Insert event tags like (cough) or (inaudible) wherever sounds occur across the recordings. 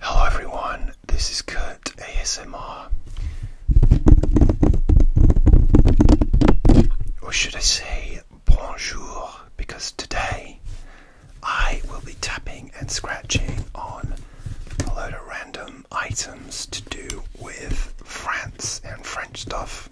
Hello everyone, this is Kurt ASMR. Or should I say bonjour? Because today I will be tapping and scratching on a load of random items to do with France and French stuff.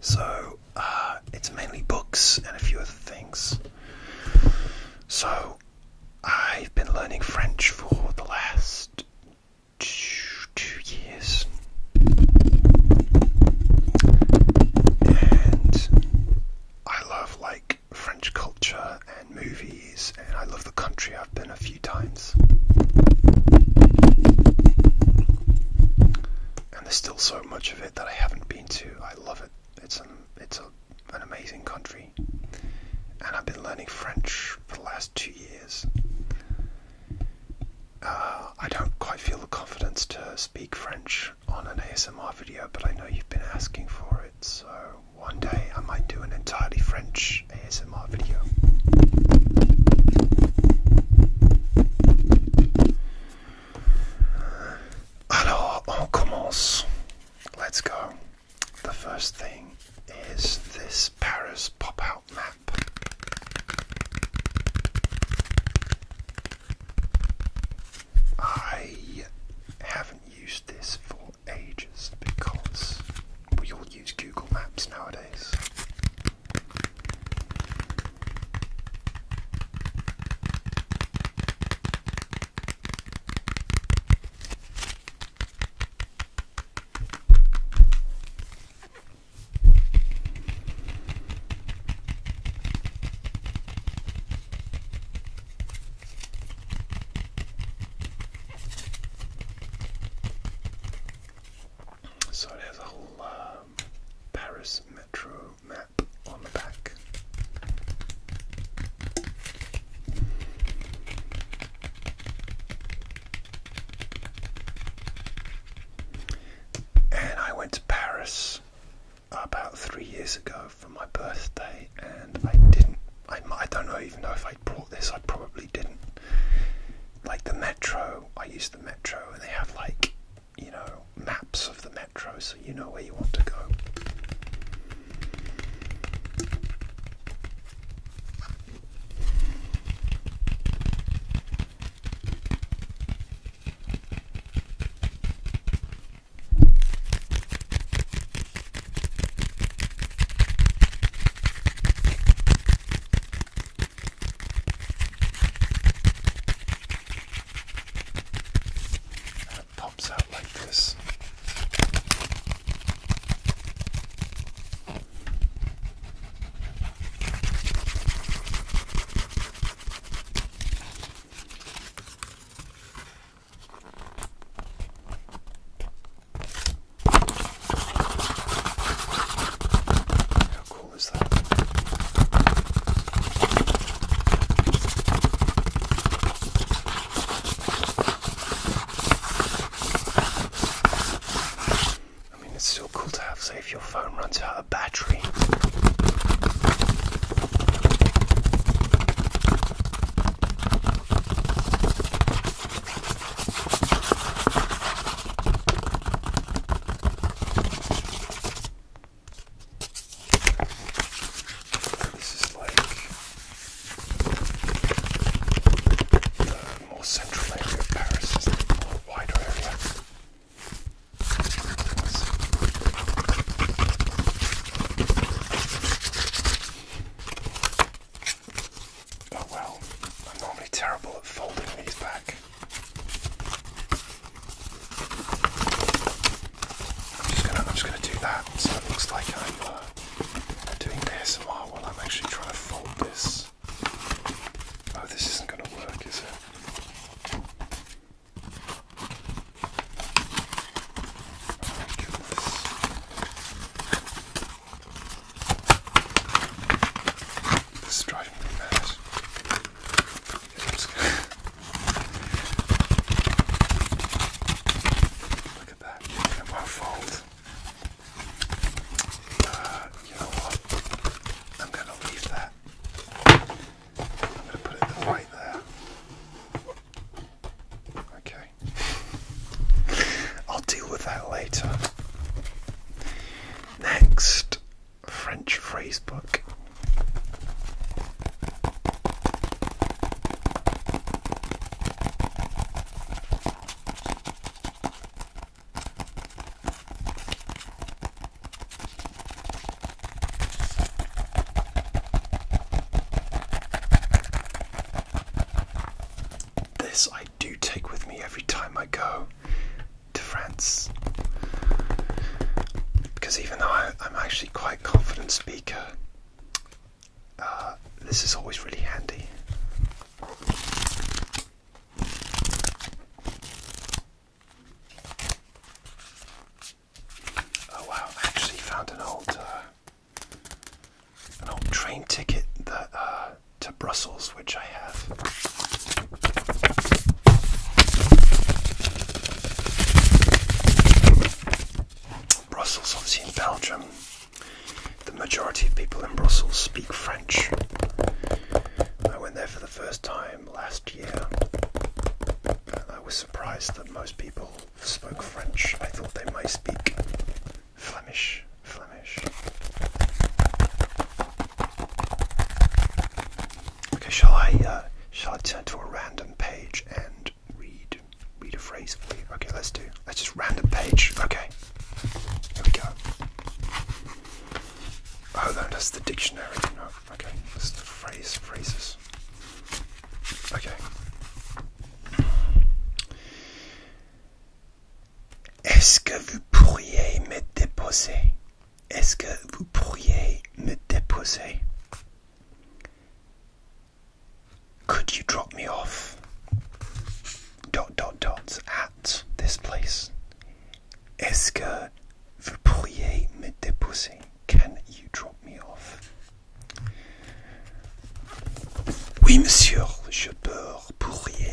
So uh, it's mainly books and a few other things. So I've been learning French for the last two, two years, and I love like French culture and movies, and I love the country. I've been a few times. And there's still so much of it that I haven't been to. I love it. It's an it's an amazing country, and I've been learning French for the last two years. Uh, I don't quite feel the confidence to speak French on an ASMR video, but I know you've been asking for it, so one day I might do an entirely French ASMR video. Alors, on commence. Let's go. The first thing is this Paris pop out map. I haven't used this for ages because we all use Google Maps nowadays. So there's a whole um, Paris metro map on the back. And I went to Paris about three years ago for my birthday, and I didn't. I, I don't know, even though if I brought this. I probably didn't. Like the metro, I used the metro, and they have like you know, maps of the metro so you know where you want to go pops out like this. How cool is that? I mean, it's still cool to have, say, if your phone runs out of battery. This is like the uh, more central area of Paris, is the more wider area. Oh well, I'm normally terrible at folding these back. I'm just gonna, I'm just gonna do that. So it looks like I'm uh, doing this while while I'm actually trying to fold this. Oh, this isn't gonna work, is it? Oh this is driving me mad. (laughs) Look at that. It will uh, you know what? I'm going to leave that. I'm going to put it right there. Okay. I'll deal with that later. Next, French phrase book. This I do take with me every time I go to France because even though I, am actually quite confident speaking. Uh, this is always really handy. Oh wow! actually found an old, uh, an old train ticket uh, to Brussels, which I have. Brussels, obviously in Belgium, the majority of people in Brussels speak French. I went there for the first time last year, and I was surprised that most people spoke French. I thought they might speak Flemish. Flemish. Okay, shall I? Uh, shall I turn to a random page and read read a phrase Okay, let's do. Let's just random page. Okay. Here we go. Oh no, that's the dictionary. okay. This the phrase phrases. Okay. Est-ce que vous pourriez me déposer? Est-ce que vous pourriez me déposer? Could you drop me off? Dot dot dots at this place. Est-ce que vous pourriez me déposer? Can you drop me off? Oui, monsieur, je peux pourriez.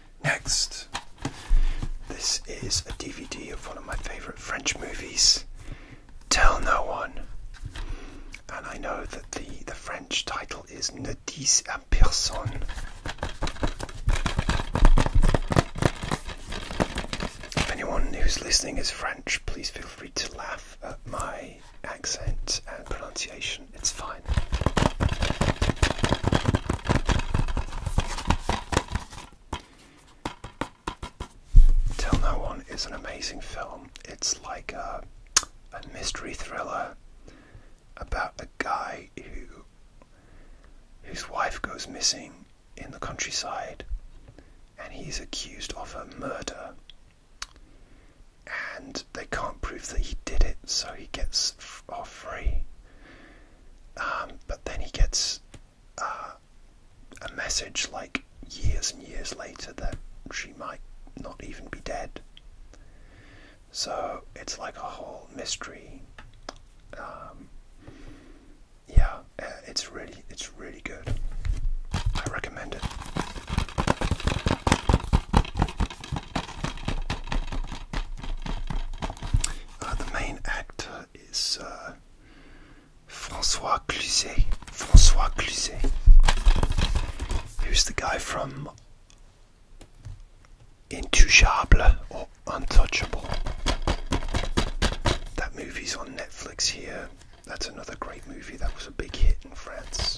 Next, this is a DVD of one of my favorite French movies, Tell No One. And I know that the, the French title is Ne dis à personne. If anyone who's listening is French, please feel free to laugh at my accent and pronunciation. It's fine. Tell No One is an amazing film. It's like a, mystery thriller about a guy who whose wife goes missing in the countryside and he's accused of her murder and they can't prove that he did it so he gets off free um, but then he gets uh, a message like years and years later that she might not even be dead. So it's like a whole mystery. Um, yeah, uh, it's really it's really good. I recommend it. Uh, the main is uh, Francois Cluzet. Francois Cluzet. Who's the guy from Intouchable or Untouchable? That movie's on Netflix here. That's another great movie. That was a big hit in France.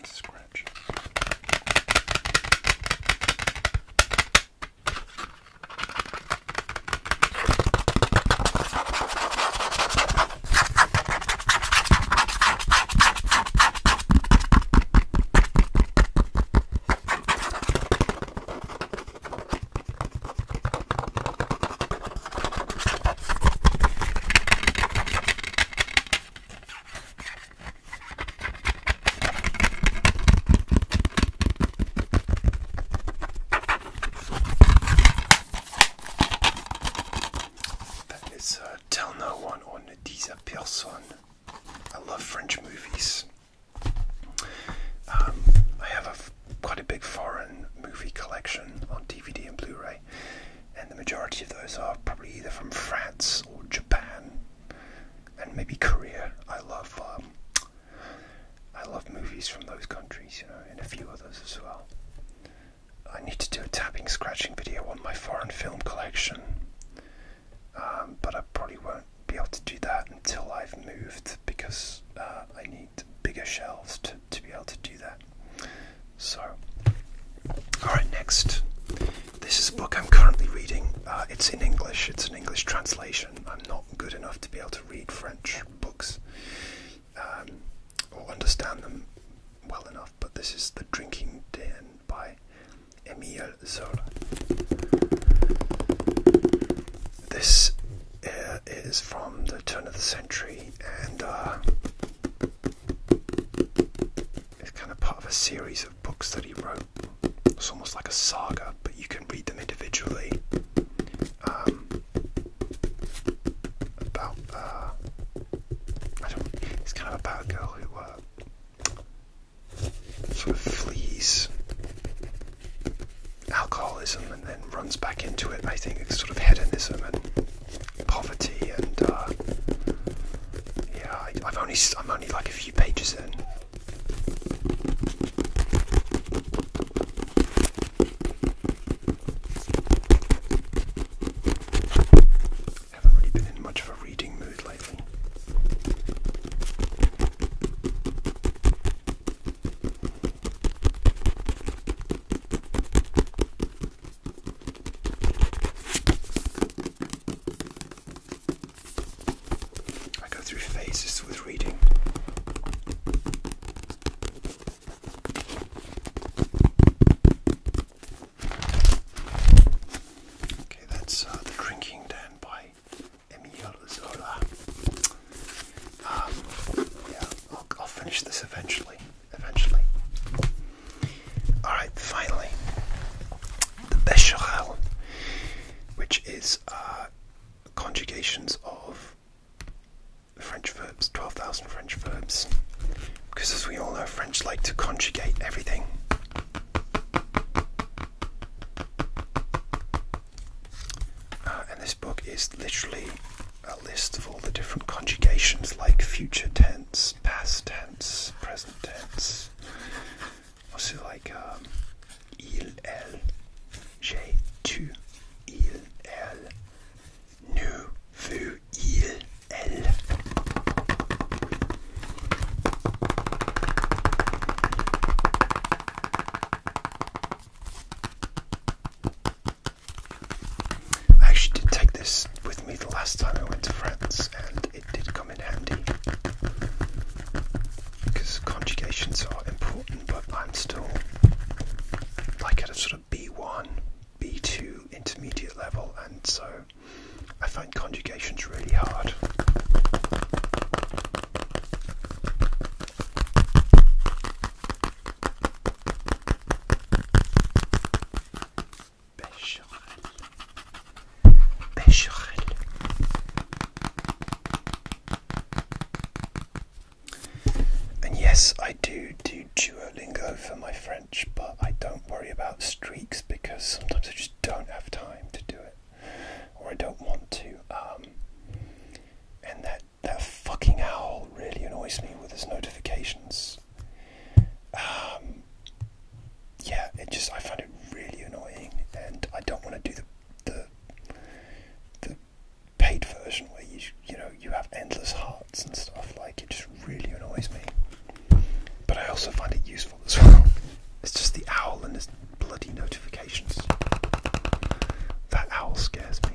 Let's scratch. That is uh, Tell No One on These Personnes. I love French movies. Um, I have a, quite a big foreign movie collection on DVD and Blu-ray, and the majority of those are probably either from France or Japan, and maybe Korea. I love um, I love movies from those countries, you know, and a few others as well. I need to do a tapping, scratching video on my foreign film collection, um, but I probably won't be able to do that until I've moved because uh, I need bigger shelves to, to be able to do that. So, alright, next. This is a book I'm currently reading. Uh, it's in English, it's an English translation. I'm not good enough to be able to read French books um, or understand them well enough, but this is The Drinking Den by Emile Zola. This is from the turn of the century and uh, it's kind of part of a series of books that he wrote. It's almost like a saga, but you can read them individually. Um, about, uh, I don't, it's kind of about a girl who uh, sort of flees alcoholism and then runs back into it. I think it's sort of hedonism and poverty and uh, yeah. I, have only I'm only like a few pages in. haven't really been in much of a reading mood lately. I go through phases with reading. Okay, that's uh, The Drinking Den by Emile Zola. Um, yeah, I'll, finish this eventually. Eventually. All right. Finally, the Becherel, which is uh, conjugations of French verbs, twelve thousand French verbs. Because as we all know, French like to conjugate everything. Uh, and this book is literally a list of all the different conjugations like future tense, past tense, present tense. Also, like um, il, elle, tu, il, elle, nous, il, elle. I actually did take this with me the last time I went to France, and it did come in handy because conjugations are important, but I'm still like at a sort of B1, B2 intermediate level, and so I find conjugations really hard. Becherel. Becherel. And yes, I do do Duolingo for my French, but I don't worry about streaks because sometimes I just don't have time to do it or I don't want to. Um, and that that fucking owl really annoys me with his notifications. Um, yeah, it just I find it really annoying, and I don't want to do the the the paid version where you you know you have endless hearts and stuff. Like it just really annoys me. But I also find it useful as (laughs) well. It's just the owl and his bloody notifications. That owl scares me.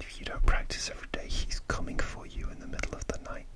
If you don't practice every day, he's coming for you in the middle of the night.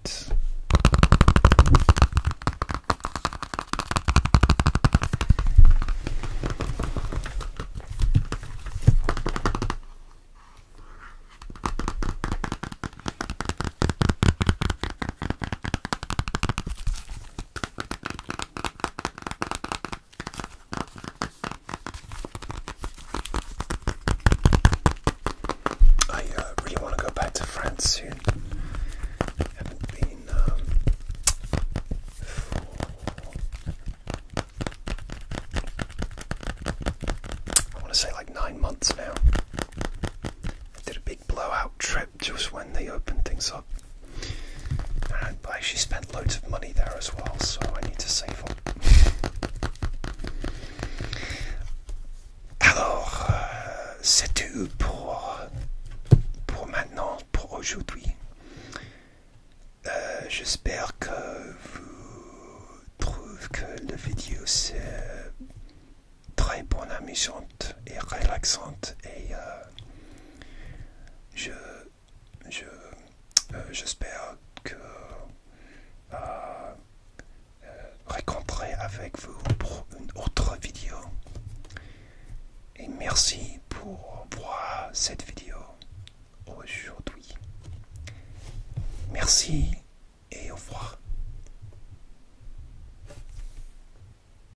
I uh, really want to go back to France soon. I haven't been um, I want to say like nine months now. did a big blowout trip just when they opened things up. I actually spent loads of money there as well, so I need to save up. Alors, euh, c'est tout pour, pour maintenant, pour aujourd'hui. Euh, j'espère que vous trouvez que la vidéo c'est très bonne amusant et relaxante et euh, je euh, j'espère que je euh, rencontrer avec vous pour une autre vidéo et merci pour voir cette vidéo aujourd'hui merci et au revoir